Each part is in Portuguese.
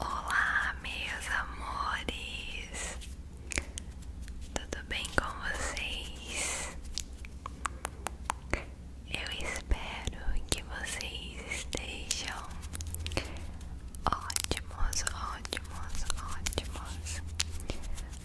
Olá, meus amores, tudo bem com vocês? Eu espero que vocês estejam ótimos, ótimos, ótimos.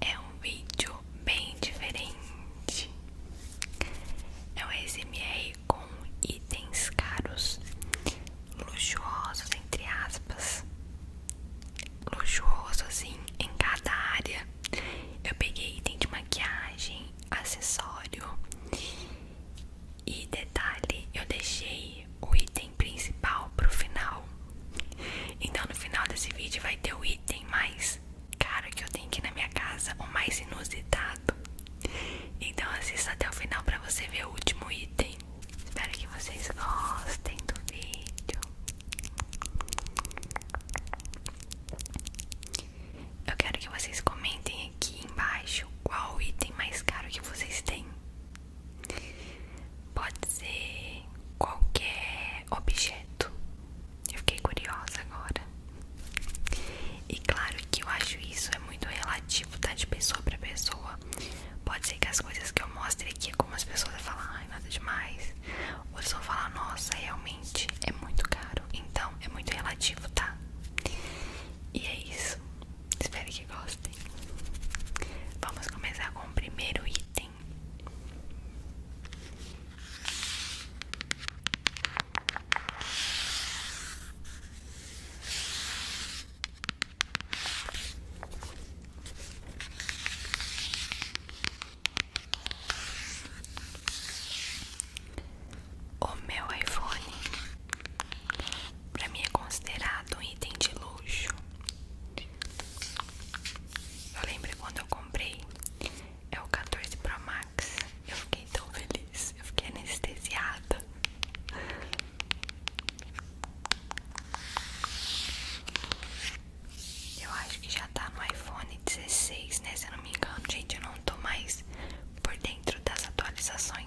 é um vídeo bem diferente. É um ASMR com itens caros, luxuosos entre aspas, luxuoso assim em cada área. Eu peguei item de maquiagem, acessório e detalhe, eu deixei o item principal para o final. Então no final desse vídeo vai ter o item mais caro que eu tenho aqui na minha casa, o mais inusitado. Então assista até o final para você ver o último item. Espero que vocês gostem do vídeo. Eu quero que vocês comentem aqui embaixo qual o item mais caro que vocês têm. Pode ser qualquer objeto. Eu fiquei curiosa agora. E claro que eu acho isso é muito relativo, tá? De pessoa pra pessoa. Pode ser que as coisas que eu mostre aqui, algumas pessoas vão falar, ai, nada demais. Outras vão falar, nossa, realmente é muito caro. Então é muito relativo, tá? E é isso. Espero que gostem. Vamos começar com o primeiro item. O meu iPhone para mim é considerado um item de luxo. Eu lembrei quando eu comprei É o 14 Pro Max Eu fiquei tão feliz Eu fiquei anestesiada Eu acho que já tá no iPhone 16, né? Se eu não me engano, gente, eu não tô mais por dentro das atualizações.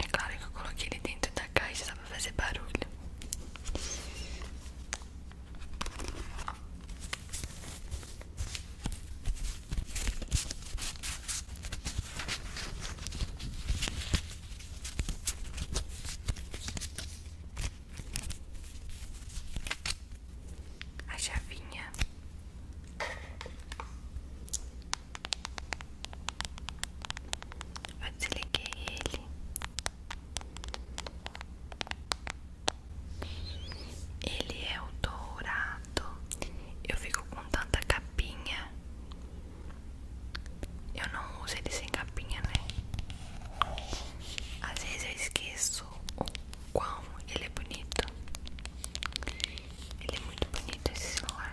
É claro que eu coloquei ele dentro da caixa só pra fazer barulho. A chavinha eu desliguei ele. Ele é o dourado. Eu fico com tanta capinha. Eu não uso ele sem capinha, né? Às vezes eu esqueço o quão ele é bonito. Ele é muito bonito esse celular.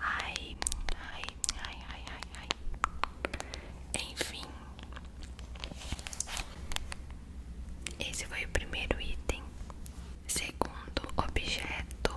Ai, ai, ai, ai, ai, ai. Enfim, esse foi o primeiro item. Segundo objeto.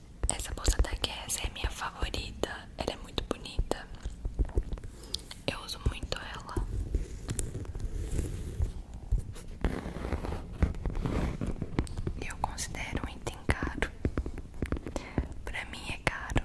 Essa bolsa da Guess é minha favorita. Ela é muito bonita. Eu uso muito ela. Eu considero um item caro. Pra mim é caro.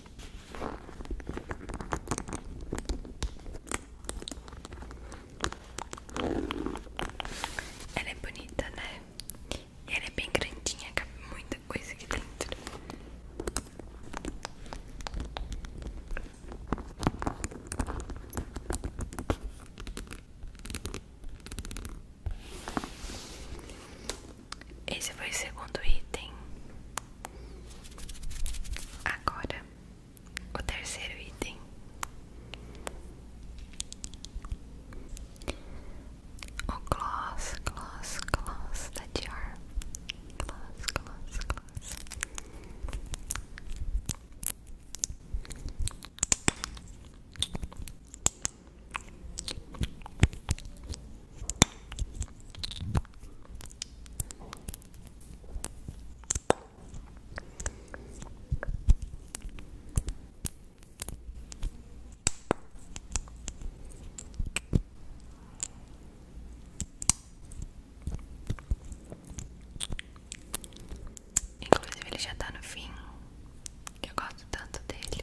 Ela é bonita, né? E ela é bem grandinha, cabe é muita coisa aqui dentro. Esse foi o segundo item Agora, o terceiro item. O gloss, gloss, gloss da Dior. Inclusive, ele já está no fim. Eu gosto tanto dele.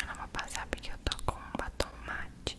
Eu não vou passar porque eu tô com um batom mate.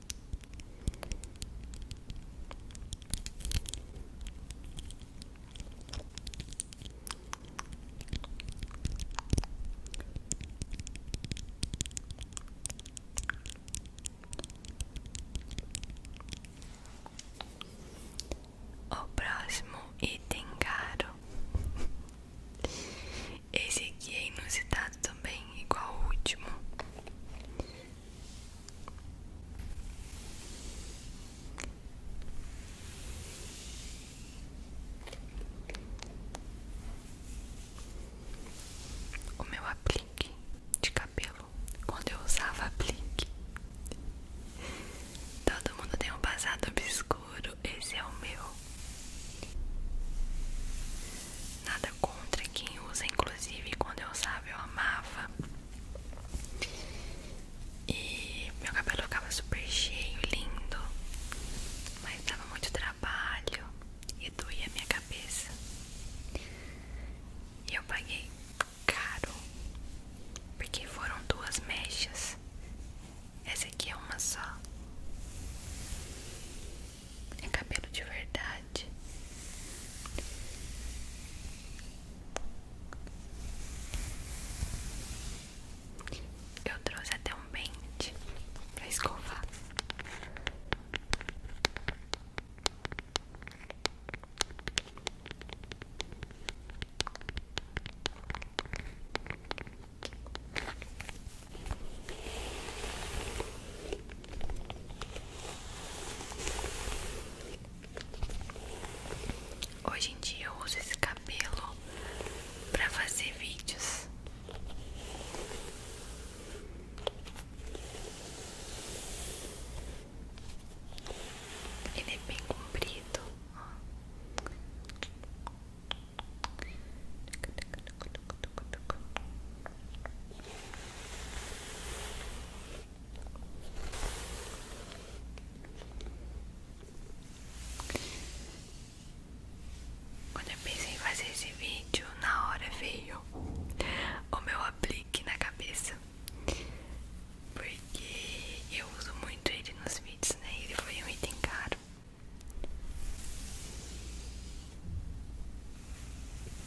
O próximo item caro. Esse aqui é inusitado também, igual o último. O meu aplique de cabelo, quando eu usava aplique, todo mundo tem um passado obscuro. Esse é o meu. Nada contra quem usa, inclusive quando eu usava eu amava. E meu cabelo ficava super cheio, lindo, mas dava muito trabalho e doía minha cabeça. E eu paguei caro, porque foram duas mechas. Essa aqui é uma só. É cabelo de verdade. Eu trouxe até um pente pra escovar. Hoje em dia eu uso esse cabelo para fazer vídeos. Ele é bem comprido. Quando eu pensei em fazer esse vídeo, na hora veio o meu aplique na cabeça. Porque eu uso muito ele nos vídeos, né? Ele foi um item caro.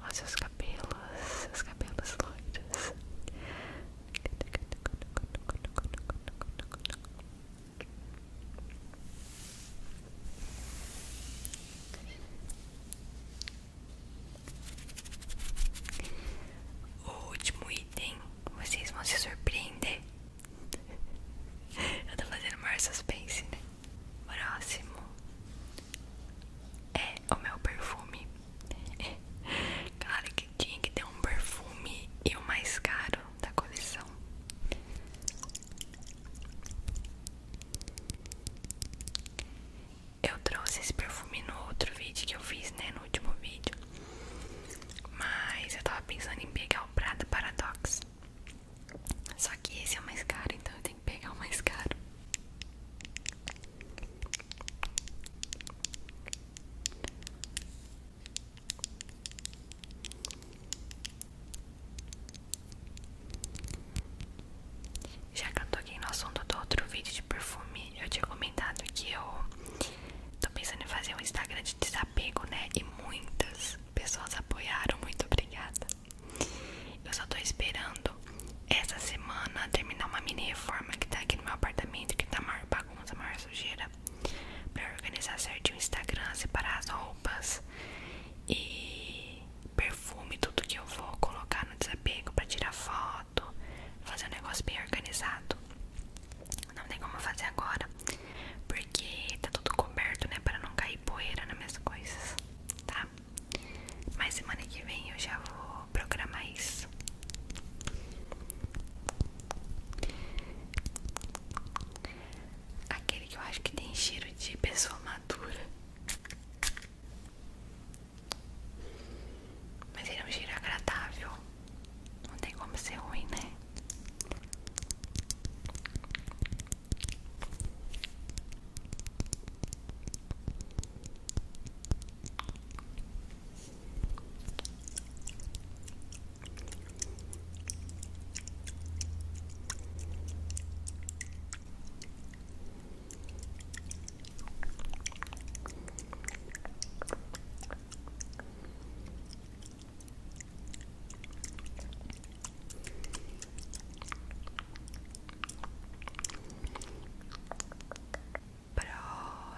Olha seus cabelos, seus cabelos loiros. O último item, vocês vão se surpreender. Eu tô fazendo maior suspense, né? Próximo é o meu perfume. Claro que tinha que ter um perfume e o mais caro da coleção. Eu trouxe esse perfume no outro vídeo que eu fiz, né? No último vídeo. Mas eu tava pensando em pegar o Prada Paradox. Só que esse é o mais caro, então eu tenho que pegar o mais caro. Já que eu toquei no assunto do outro vídeo de perfume, eu tinha comentado que eu tô pensando em fazer um Instagram de desapego, né? E muitas pessoas apoiaram, muito obrigada. Eu só tô esperando essa semana terminar uma mini reforma que tá aqui no meu apartamento, que tá maior bagunça, maior sujeira, pra organizar certinho o Instagram, separar as roupas e perfume, tudo que eu vou colocar no desapego pra tirar foto, fazer um negócio bem organizado. Não tem como fazer agora, porque tá tudo coberto, né? Pra não cair poeira nas minhas coisas, tá? Mas semana que vem eu já vou programar isso. Aquele que eu acho que tem cheiro de pessoa madura. Mas ele é um cheiro agradável. Não tem como ser ruim, né?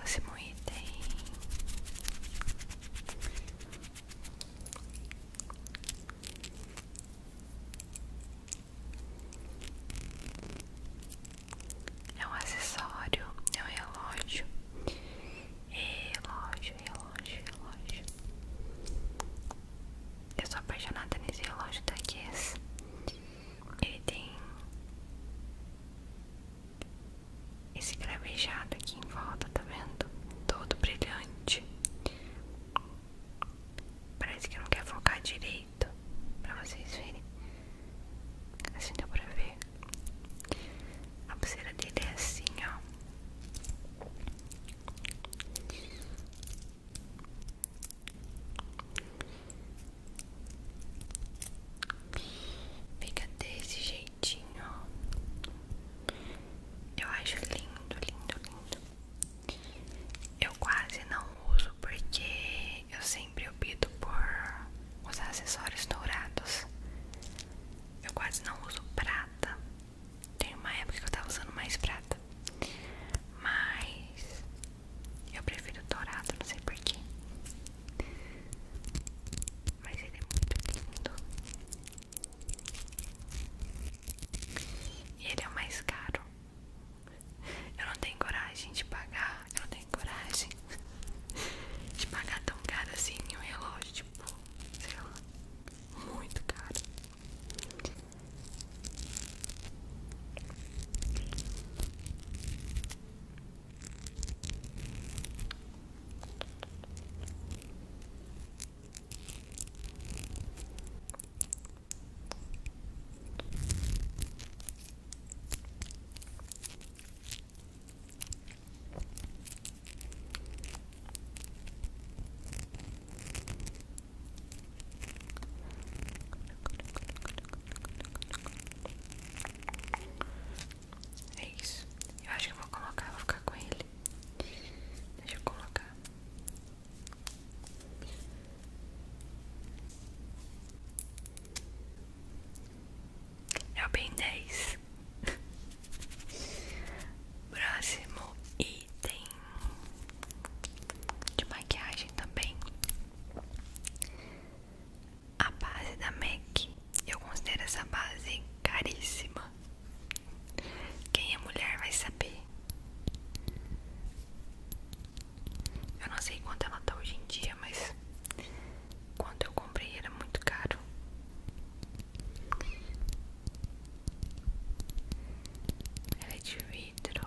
Próximo item. É um acessório, é um relógio. Relógio, relógio, relógio. Eu sou apaixonada nesse relógio da esse, Ele tem esse cravejado aqui em volta, tá vendo? Todo brilhante. Parece que não quer focar direito direito pra vocês verem. Assim deu pra ver. A pulseira dele é assim, ó. Fica desse jeitinho, Eu acho lindo, lindo, lindo. Eu quase não uso porque eu sempre opto por usar acessórios dourados. Eu quase não uso prata. Tem uma época que eu tava usando mais prata. Mas eu prefiro dourado, não sei porquê. Mas ele é muito lindo. E ele é o mais caro. Eu não tenho coragem de pagar. Eu não tenho coragem de pagar tão caro assim em um relógio, tipo, sei lá, muito caro. É isso. Eu acho que vou colocar, vou ficar com ele. Deixa eu colocar. É o bem 10. Próximo item de maquiagem também. A base da MAC. Eu considero essa base caríssima. Quem é mulher vai saber. Eu não sei quanto ela tá hoje em dia, mas quando eu comprei era muito caro. Ela é de vidro.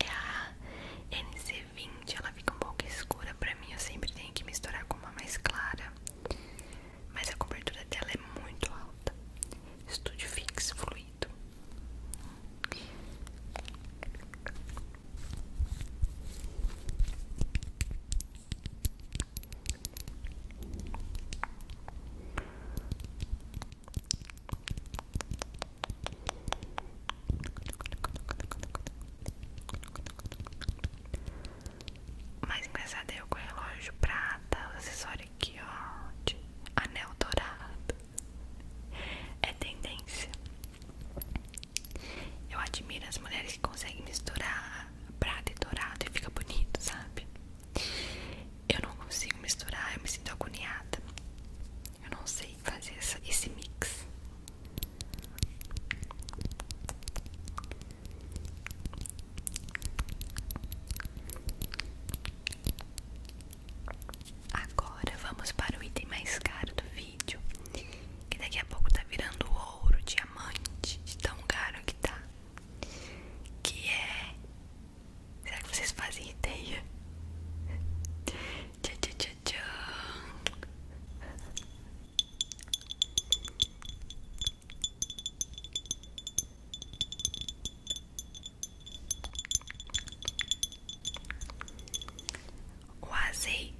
É a NC20, ela fica um pouco escura pra mim, eu sempre tenho que misturar com uma mais clara. Mas a cobertura dela é muito alta. Estúdio Fix fluido mais engraçado é eu com relógio prata, o acessório aqui, ó, anel dourado. É tendência. Eu admiro as mulheres que conseguem misturar prata e dourado e fica bonito, sabe? eu não consigo misturar, eu me sinto agoniada. Eu não sei fazer esse mix. Agora vamos para o item mais caro do vídeo, que daqui a pouco tá virando ouro, diamante, de tão caro que tá, que é Será que vocês fazem ideia? Tchau, tchau, tchau, O azeite.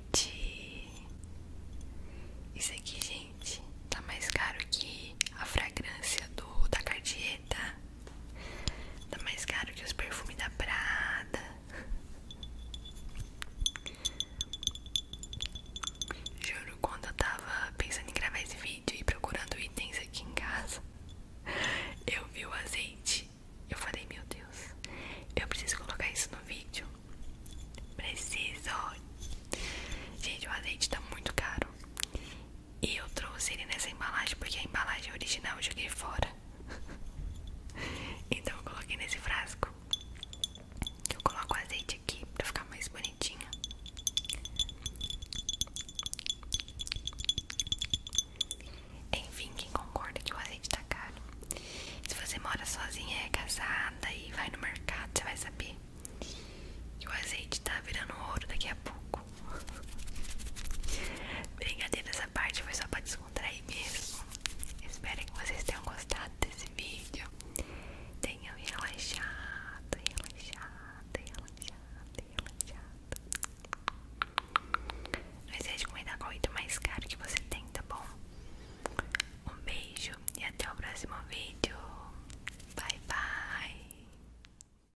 Isso aqui, gente, tá mais caro que a fragrância do da Cartier, tá? Tá mais caro que os perfumes da Prada. Juro, quando eu tava pensando em gravar esse vídeo e procurando itens aqui em casa, eu vi o azeite. Eu falei, meu Deus, eu preciso colocar isso no vídeo. Preciso. Gente, o azeite tá muito caro. E eu trouxe ele nessa embalagem porque a embalagem original eu joguei fora. então eu coloquei nesse frasco. Eu coloco o azeite aqui pra ficar mais bonitinha Enfim, quem concorda que o azeite tá caro. Se você mora sozinha, é casada e vai no mercado, você vai saber que o azeite tá virando ouro daqui a pouco pouco. Brincadeira, essa parte foi só pra aí mesmo. Espero que vocês tenham gostado desse vídeo. Tenham relaxado, relaxado, relaxado, relaxado. Não esquece de comentar o item mais caro que você tem, tá bom? Um beijo e até o próximo vídeo. Bye, bye.